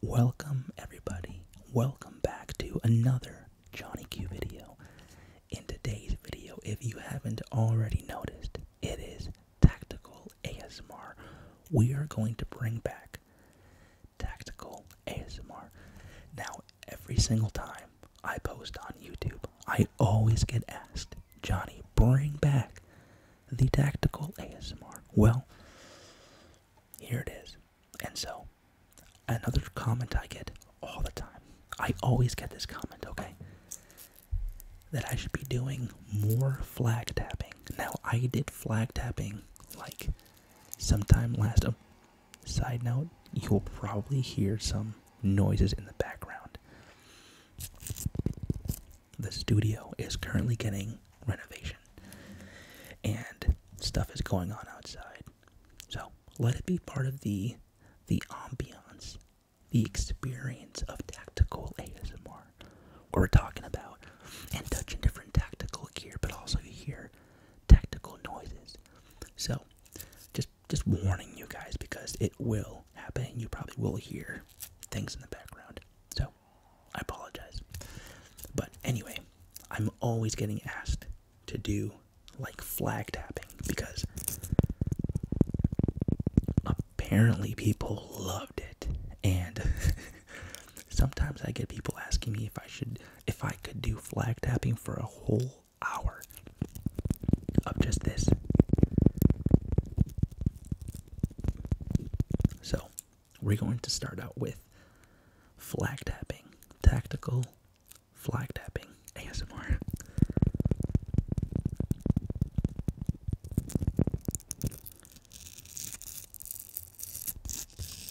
Welcome, everybody. Welcome back to another Johnny Q video. In today's video, if you haven't already noticed, it is Tactical ASMR. We are going to bring back Tactical ASMR. Now, every single time I post on YouTube, I always get asked, Johnny, bring back the Tactical ASMR. Well, here it is. And so, another comment I get all the time. I always get this comment, okay? That I should be doing more flag tapping. Now, I did flag tapping like sometime last. Um, side note, you will probably hear some noises in the background. The studio is currently getting renovation. And stuff is going on outside. So let it be part of the the ambiance, the experience of tactical ASMR. We're talking about and touching different tactical gear, but also you hear tactical noises. So just just warning you guys because it will happen. You probably will hear things in the background. So I apologize. But anyway, I'm always getting asked to do like flag tapping because apparently people loved it and sometimes I get people asking me if I should if I could do flag tapping for a whole hour of just this. So, we're going to start out with flag tapping, tactical flag tapping ASMR.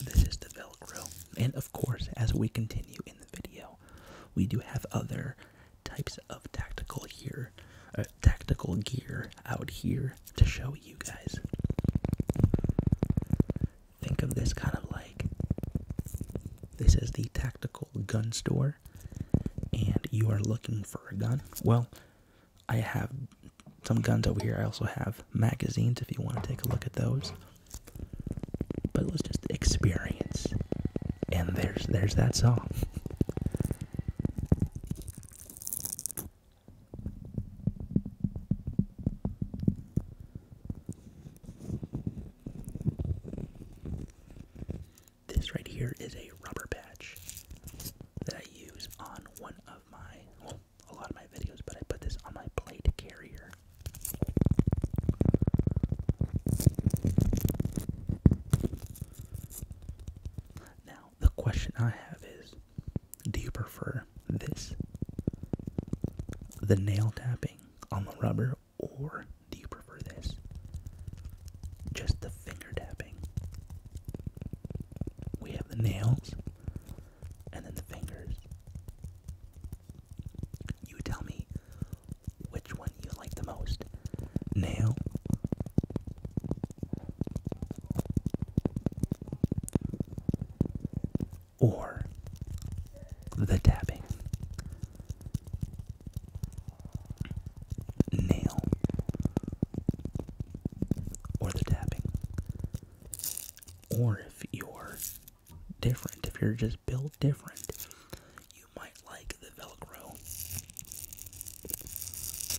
This is the Velcro, and of course, as we continue in the video, we do have other types of tactical gear, uh, tactical gear out here to show you guys. Think of this kind of like this is the tactical gun store, and you are looking for a gun. Well, I have some guns over here. I also have magazines if you want to take a look at those. But let's just experience. And there's there's that song. This right here is a rubber patch that I use on one of my, well, a lot of my videos, but I put this on my plate carrier. Now, the question I have is do you prefer this? The nail tapping on the rubber, or do you prefer this? Just the finger tapping. We have the nails and then the fingers. You tell me which one you like the most nail or the dabbing Nail or the tapping. Or if you're different, if you're just built different, you might like the Velcro.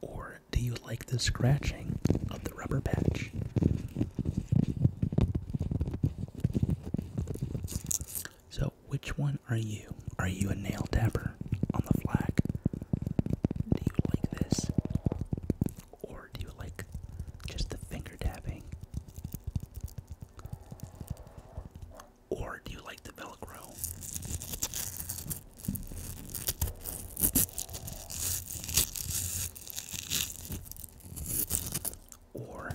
Or do you like the scratching of the rubber patch? So, which one are you? Are you a nail dabber on the flag? Do you like this? Or do you like just the finger dabbing? Or do you like the Velcro. Or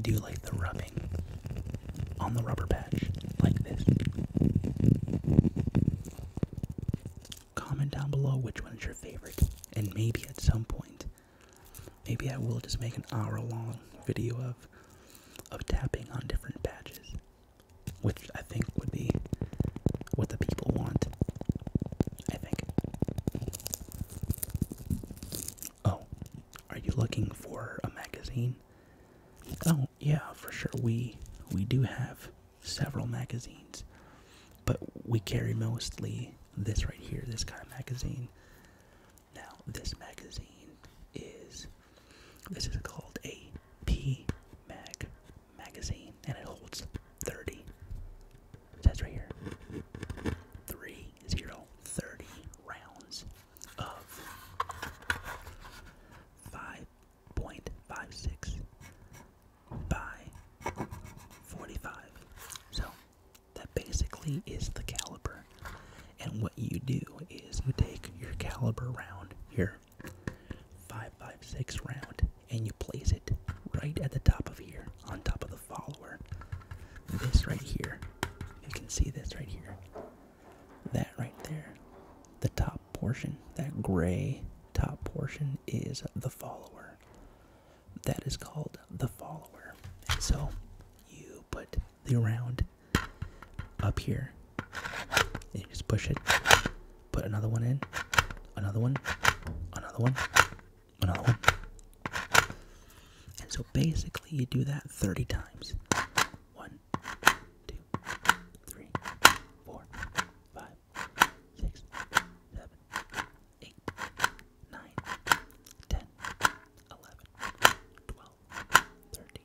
do you like the rubbing on the rubber patch like this? Comment down below which one's your favorite, and maybe at some point, maybe I will just make an hour long video of of tapping on different patches which I think would be what the people want. I think. Oh, are you looking for a magazine? Oh, yeah, for sure. We we do have several magazines, but we carry mostly this right here, this kind of magazine. Now, this magazine is this is called a P Mag magazine, and it holds 30. says right here 3 rounds of 5.56 by 45. So that basically is the caliber. And what you do is you take your caliber round, here here. 556 five, round, and you place it right at the top of here, on top of the follower. This right here, you can see this right here. That right there, the top portion, that gray top portion is the follower. That is called the follower. And so you put the round up here. And you just push it. Put another one in. Another one. Another one. Another one. And so basically, you do that 30 times. One, two, three, four, five, six, seven, eight, nine, ten, eleven, twelve, thirteen,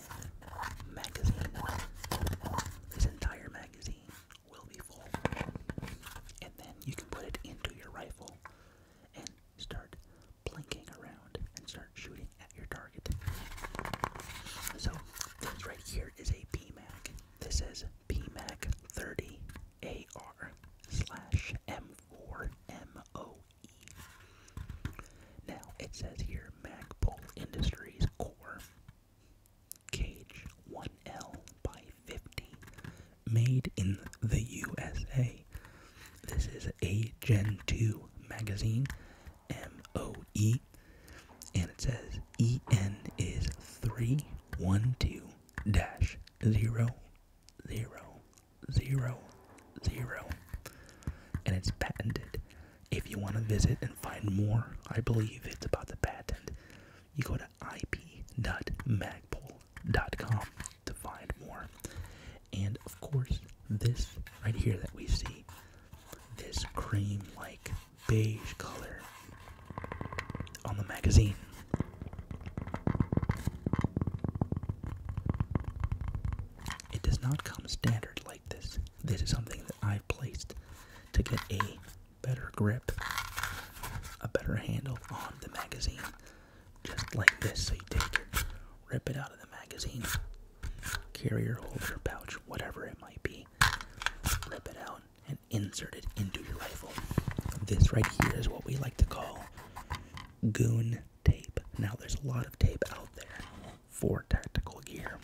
magazine. This entire magazine will be full. And then you can put it into your rifle and start blinking around and start shooting at your target. So, this right here is a PMAC. This is PMAC 30 AR slash M4 MOE. Now, it says here Mac MacPoll Industries core. Cage 1L by 50, made in the USA. This is a Gen 2 magazine, MOE, and it says EN is 312 000. Zero, zero, zero. And it's patented if you want to visit and find more, I believe it's about the patent. You go to ip.magpul.com to find more. And of course, this right here that we see, this cream like beige color on the magazine. It does not come standard like this. This is something that I've placed to get a better grip, a better handle on the magazine. Just like this, so you take rip it out of the magazine, carrier holder, pouch, whatever it might be, rip it out, and insert it into your rifle. This right here is what we like to call goon tape. Now, there's a lot of tape out there for tactical gear,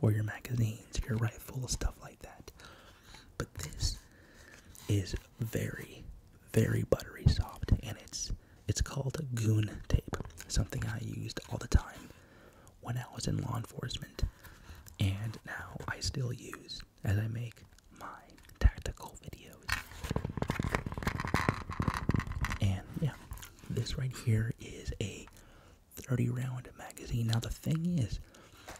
for your magazines, your rifle, stuff like that. But this is very, very buttery soft, and it's it's called goon tape, something I used all the time when I was in law enforcement, and now I still use as I make my tactical videos. And yeah, this right here is a 30 round magazine. Now, the thing is,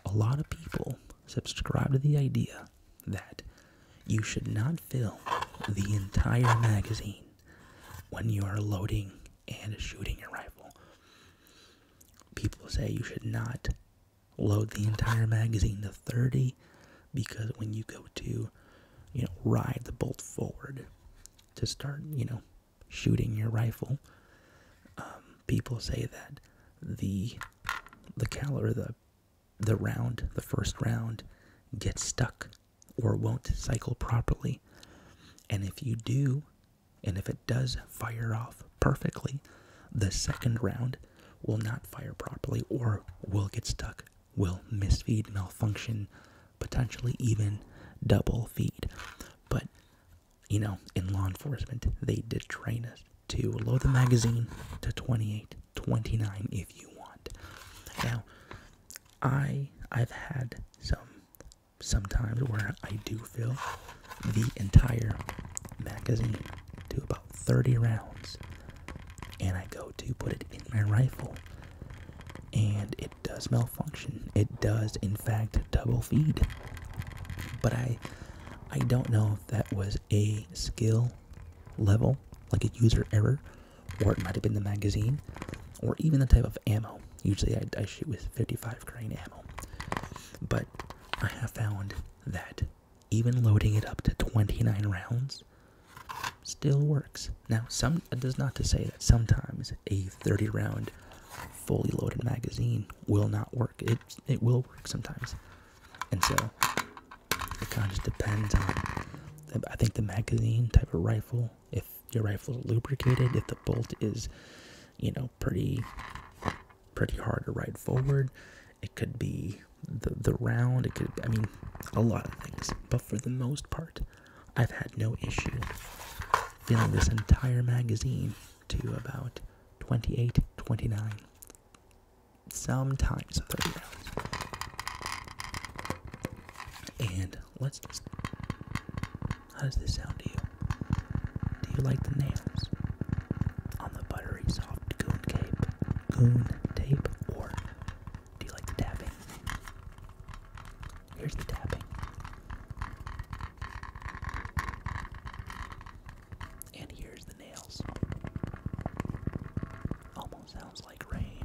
a lot of people subscribe to the idea that you should not fill the entire magazine when you are loading and shooting your rifle. People say you should not load the entire magazine to 30 because when you go to, you know, ride the bolt forward, to start, you know, shooting your rifle. Um, people say that the the caliber, the the round, the first round, gets stuck or won't cycle properly. And if you do, and if it does fire off perfectly, the second round will not fire properly or will get stuck will misfeed, malfunction, potentially even double feed. But, you know, in law enforcement, they did train us to load the magazine to 28, 29 if you want. Now, I I've had some sometimes where I do fill the entire magazine to about 30 rounds and I go to put it in my rifle and it does malfunction. It does, in fact, double feed. But I, I don't know if that was a skill level, like a user error, or it might have been the magazine, or even the type of ammo. Usually, I shoot with 55 grain ammo. But I have found that even loading it up to 29 rounds still works. Now, some it does not to say that sometimes a 30 round fully loaded magazine will not work. It it will work sometimes. And so it kind of just depends on I think the magazine type of rifle, if your rifle is lubricated, if the bolt is, you know, pretty pretty hard to ride forward, it could be the the round, it could I mean a lot of things. But for the most part, I've had no issue filling this entire magazine to about 28, 29, sometimes 30 rounds. And let's just. How does this sound to you? Do you like the nails on the buttery soft goon cape, goon tape, or do you like the tapping? Here's the tapping. And here's the nails. Almost sounds like rain.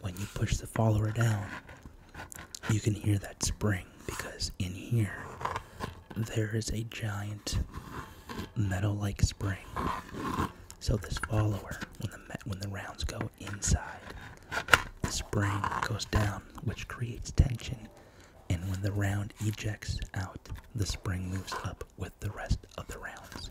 When you push the follower down, you can hear that spring because in here there is a giant metal like spring. So this follower, when the when the rounds go inside, the spring goes down, which creates tension. And when the round ejects out, the spring moves up up with the rest of the rounds.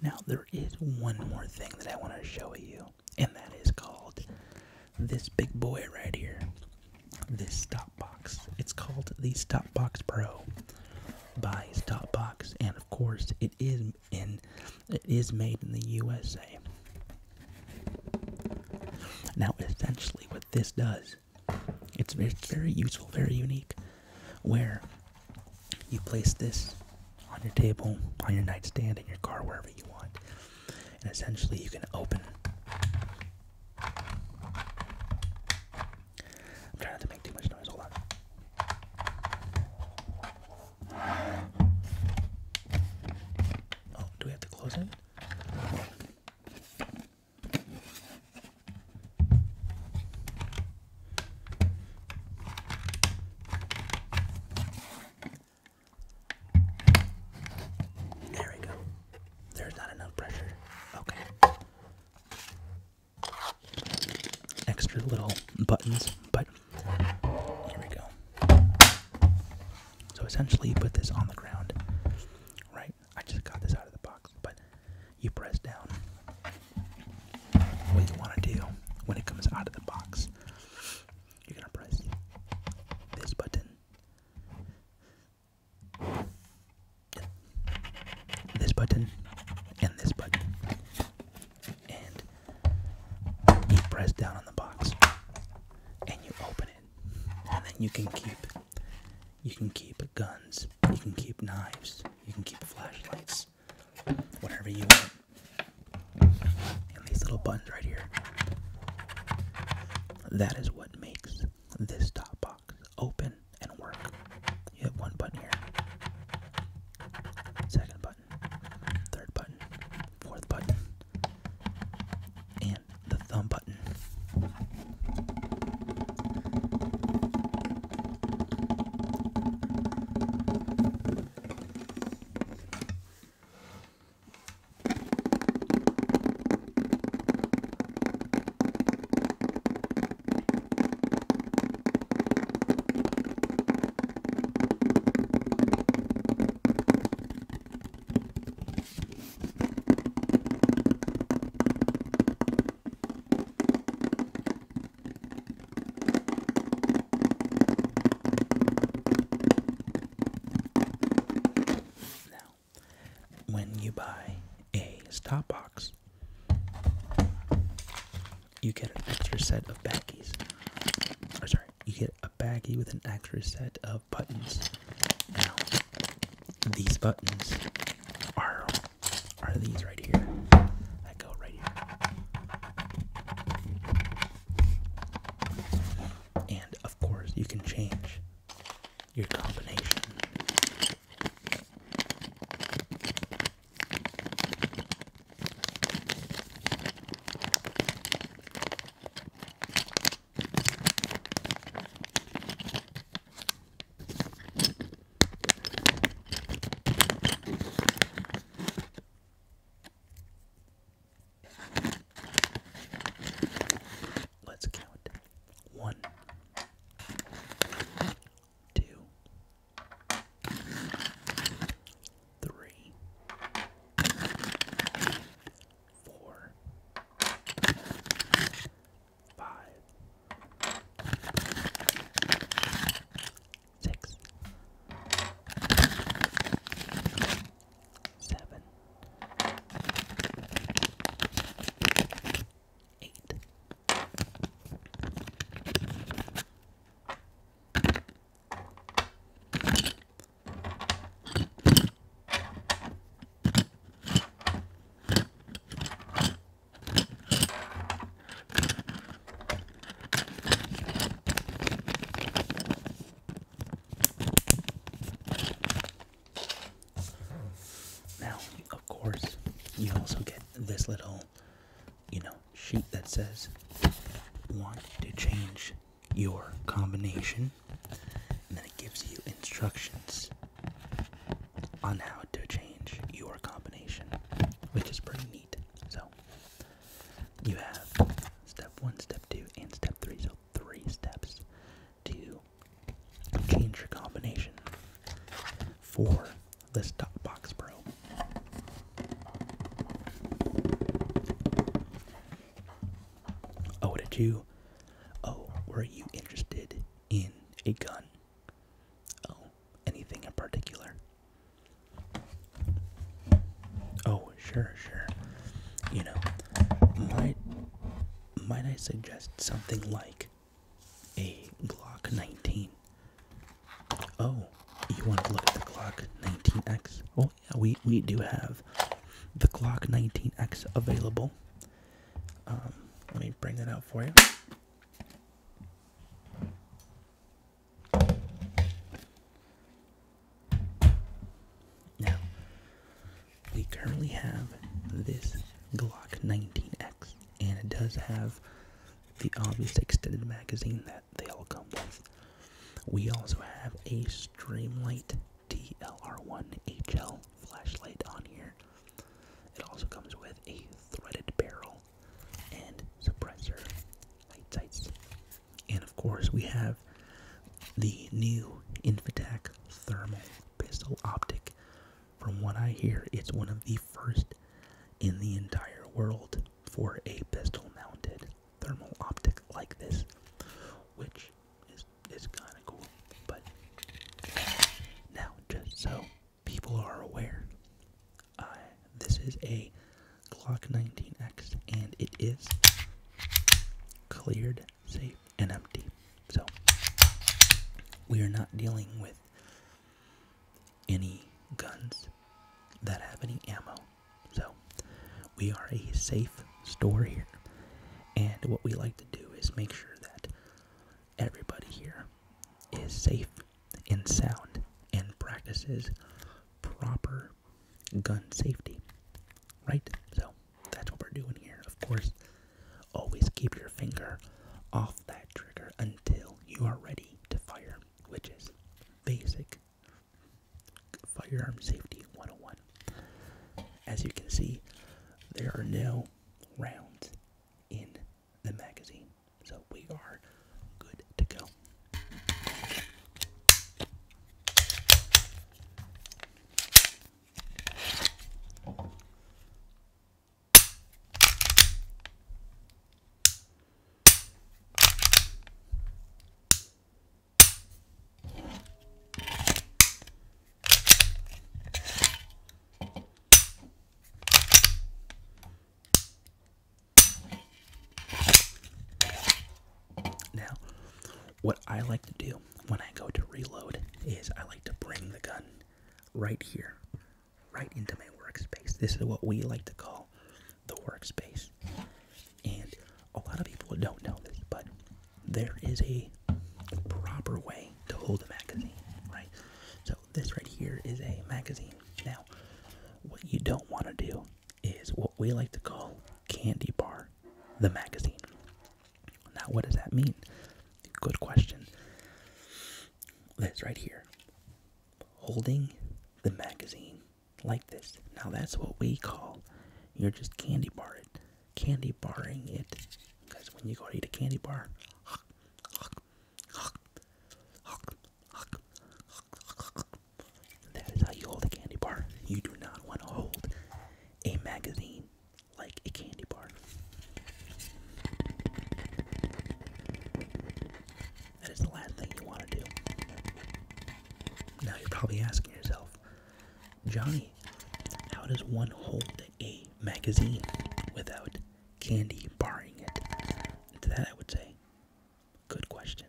Now, there is one more thing that I want to show you, and that is called this big boy right here. This stop box. It's called the Stop Box Pro by Stop Box, and of course, it is in it is made in the USA. Now, essentially, what this does, it's, very useful, very unique, where you place this on your table, on your nightstand, in your car, wherever you want. And essentially, you can open. I'm trying not to make too much noise, hold on. Oh, do we have to close it? There we go. There's not enough pressure. Okay. Extra little buttons, but here we go. So essentially, you put this on the ground, right? I just got this out of the box, but you press down. What you want to do when it comes out of the box, you're going to press this button. This button and this button, and you press down on the box, and you open it and then you can keep you can keep guns, you can keep knives, you can keep flashlights, whatever you want. And these little buttons right here. That is what makes this top box open and work. You have one button here. Second button, third button, fourth button, and the thumb button. Now, when you buy a stop box, you get an extra set of backies. Or sorry, you get a baggie with an extra set of buttons. Now, these buttons are are these right here. I go right here. And of course, you can change your combination. Let's count one, two, three, four, five, six, seven, eight. Now, of course, you also get this little, you know, sheet that says want to change your combination, and then it gives you instructions on how to change your combination, which is pretty neat. So, you have step one, step two, and step three. So, three steps to change your combination for this top box, bro. Oh, did you? Oh, were you interested in a gun? Oh, anything in particular? Oh, sure, sure. You know, might might I suggest something like a Glock 19? Oh, you want to look at the Glock 19X? Oh we we do have the Glock 19x available. Um, let me bring it out for you. Now, we currently have this Glock 19X, and it does have the obvious extended magazine that they all come with. We also have a Streamlight TLR1HL flashlight on here. It also comes with a threaded barrel and suppressor light sights. And of course, we have the new Infotech thermal pistol optic. From what I hear, it's one of the first in the entire world for a pistol mounted thermal optic like this, which is is kind of cool. But now, just so people are aware, uh, this is a Glock 19X, and it is cleared, safe, and empty. So we are not dealing with any guns that have any ammo so, we are a safe store here. And what we like to do is make sure that everybody here is safe and sound and practices proper gun safety. Right? So, that's what we're doing here. Of course, always keep your finger off that trigger until you are ready to fire, which is basic Firearm Safety 101. As you can see, there are no rounds in the magazine, so we are good to go. Now, what I like to do when I go to reload is I like to bring the gun right here, right into my workspace. This is what we like to call the workspace. And a lot of people don't know this, but there is a proper way to hold a magazine, right? So this right here is a magazine. Now, what you don't want to do is what we like to call candy bar the magazine. Now, what does that mean? Good question. This right here. Holding the magazine like this. Now that's what we call you're just candy bar it, candy barring it. Because when you go to eat a candy bar, that is how you hold a candy bar. You do not want to hold a magazine like a candy bar. That is the last thing you want to do. Now you're probably asking yourself, Johnny, how does one hold a magazine without candy barring it? And to that, I would say, good question.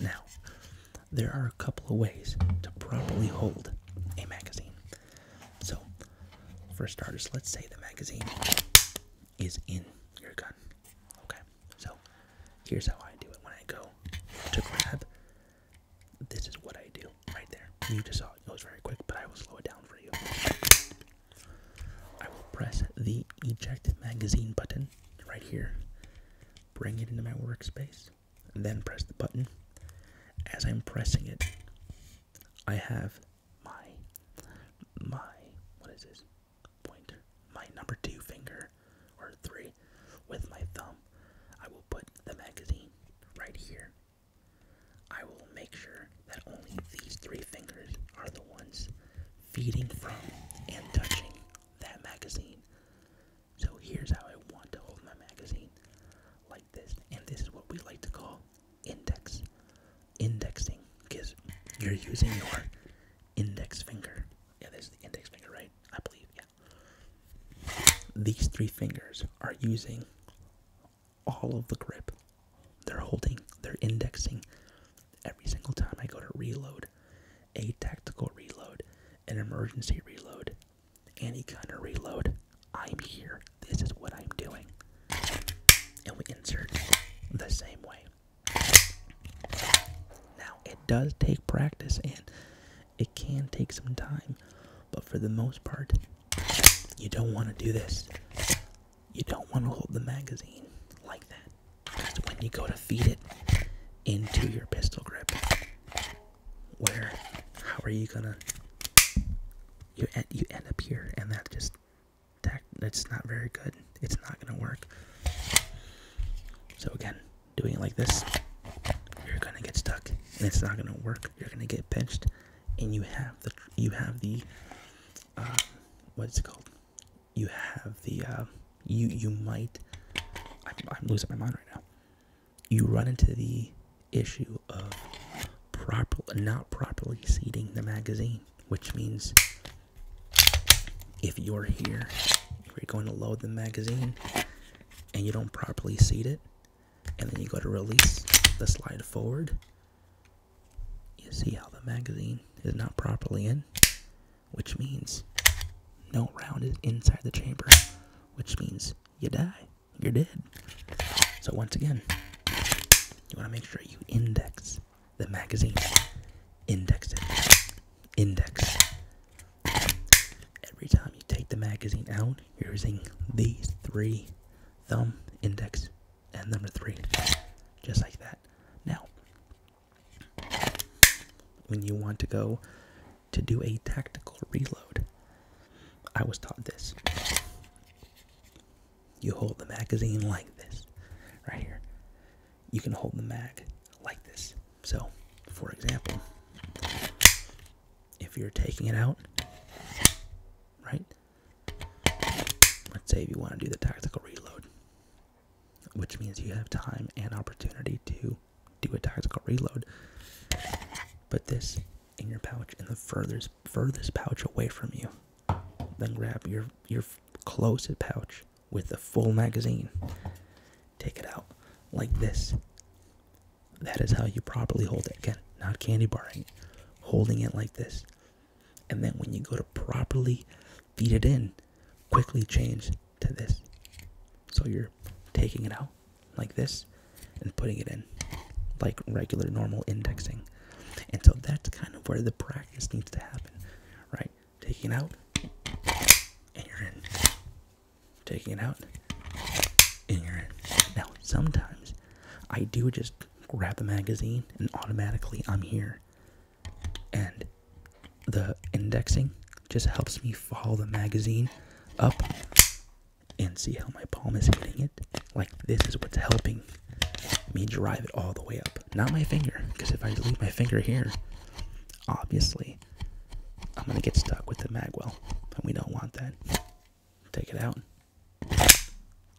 Now, there are a couple of ways to properly hold a magazine. So, for starters, let's say the magazine is in your gun. Okay, so here's how I do it when I go to grab. This is what I do right there. You just saw it, it goes very quick, but I will slow it down for you. I will press the eject magazine button right here, bring it into my workspace, then press the button. As I'm pressing it, I have my my what is this? pointer, my number two finger, or three, with my thumb, I will put the magazine right here. I will make sure that only these three fingers are the ones feeding from and touching that magazine. So here's how I want to hold my magazine like this, and this is what we like to call index indexing because you're using your index finger. Yeah, this the index finger, right? I believe, yeah. These three fingers are using all of the grip. They're holding, they're indexing every single time I go to reload, a tactical reload, an emergency reload, any kind of reload. I'm here. This is what I'm doing. And we insert the same way. Now, it does take practice and it can take some time, but for the most part, you don't want to do this. You don't want to hold the magazine like that. Because when you go to feed it into your pistol grip, where, how are you gonna, you, you end up here, and that just that's not very good. It's not gonna work. So again, doing it like this, you're gonna get stuck, and it's not gonna work. You're gonna get pinched, and you have the you have the um, what's it called? You have the um, you you might. I'm losing my mind right now. You run into the issue of proper not properly seating the magazine, which means if you're here, you're going to load the magazine and you don't properly seat it, and then you go to release the slide forward, you see how the magazine is not properly in, which means no round is inside the chamber, which means you die. You're dead. So once again, you want to make sure you index the magazine. Index Index. Every time you take the magazine out, you're using these three thumb, index, and number three. Just like that. Now, when you want to go to do a tactical reload, I was taught this. You hold the magazine like this, right here. You can hold the mag like this. So, for example, if you're taking it out, right? Let's say if you want to do the tactical reload, which means you have time and opportunity to do a tactical reload. Put this in your pouch in the furthest furthest pouch away from you then grab your your closest pouch with the full magazine. Take it out like this. That is how you properly hold it. Again, not candy barring, holding it like this. And then when you go to properly feed it in, quickly change to this. So you're taking it out like this and putting it in like regular normal indexing. And so that's kind of where the practice needs to happen, right? Taking it out, and you're in. Taking it out, and you're in. Now, sometimes I do just grab the magazine and automatically I'm here. And the indexing just helps me follow the magazine up and see how my palm is hitting it like this is what's helping me drive it all the way up. Not my finger, because if I leave my finger here, obviously I'm gonna get stuck with the magwell, and we don't want that. Take it out,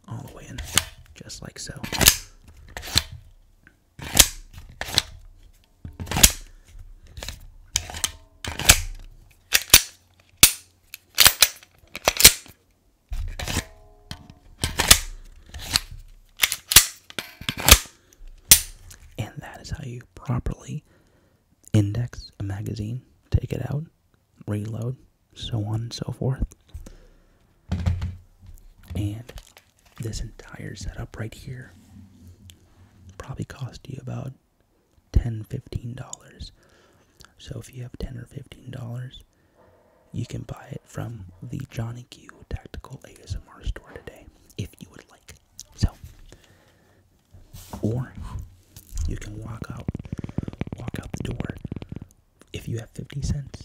all the way in, just like so. And that is how you properly index a magazine, take it out, reload, so on and so forth. And this entire setup right here probably cost you about 10 15 dollars so if you have 10 or 15 dollars you can buy it from the Johnny Q Tactical ASMR store today if you would like. So, or you can walk out, walk out the door. If you have 50 cents,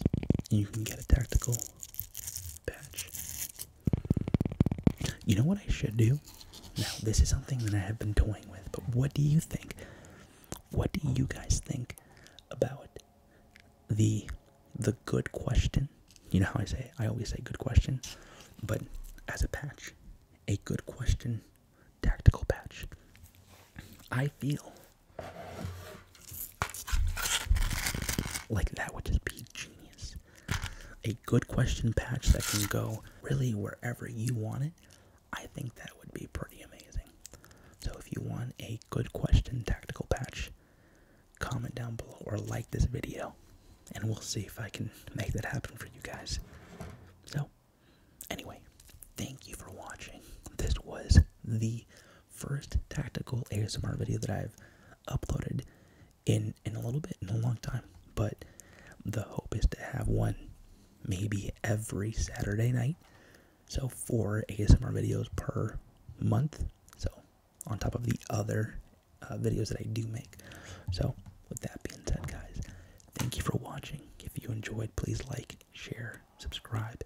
you can get a tactical patch. You know what I should do? Now, this is something that I have been toying with, but what do you think? What do you guys think about the the good question. You know how I say I always say good question, but as a patch, a good question tactical patch. I feel like that would just be genius. A good question patch that can go really wherever you want it I think that would be pretty amazing. So if you want a good question tactical patch, comment down below or like this video and we'll see if I can make that happen for you guys. So anyway, thank you for watching. This was the first tactical ASMR video that I've uploaded in in a little bit in a long time, but the hope is to have one maybe every Saturday night so four ASMR videos per month. So on top of the other uh, videos that I do make. So with that being said, guys, thank you for watching. If you enjoyed, please like, share, subscribe,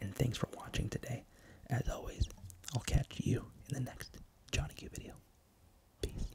and thanks for watching today. As always, I'll catch you in the next Johnny Q video. Peace.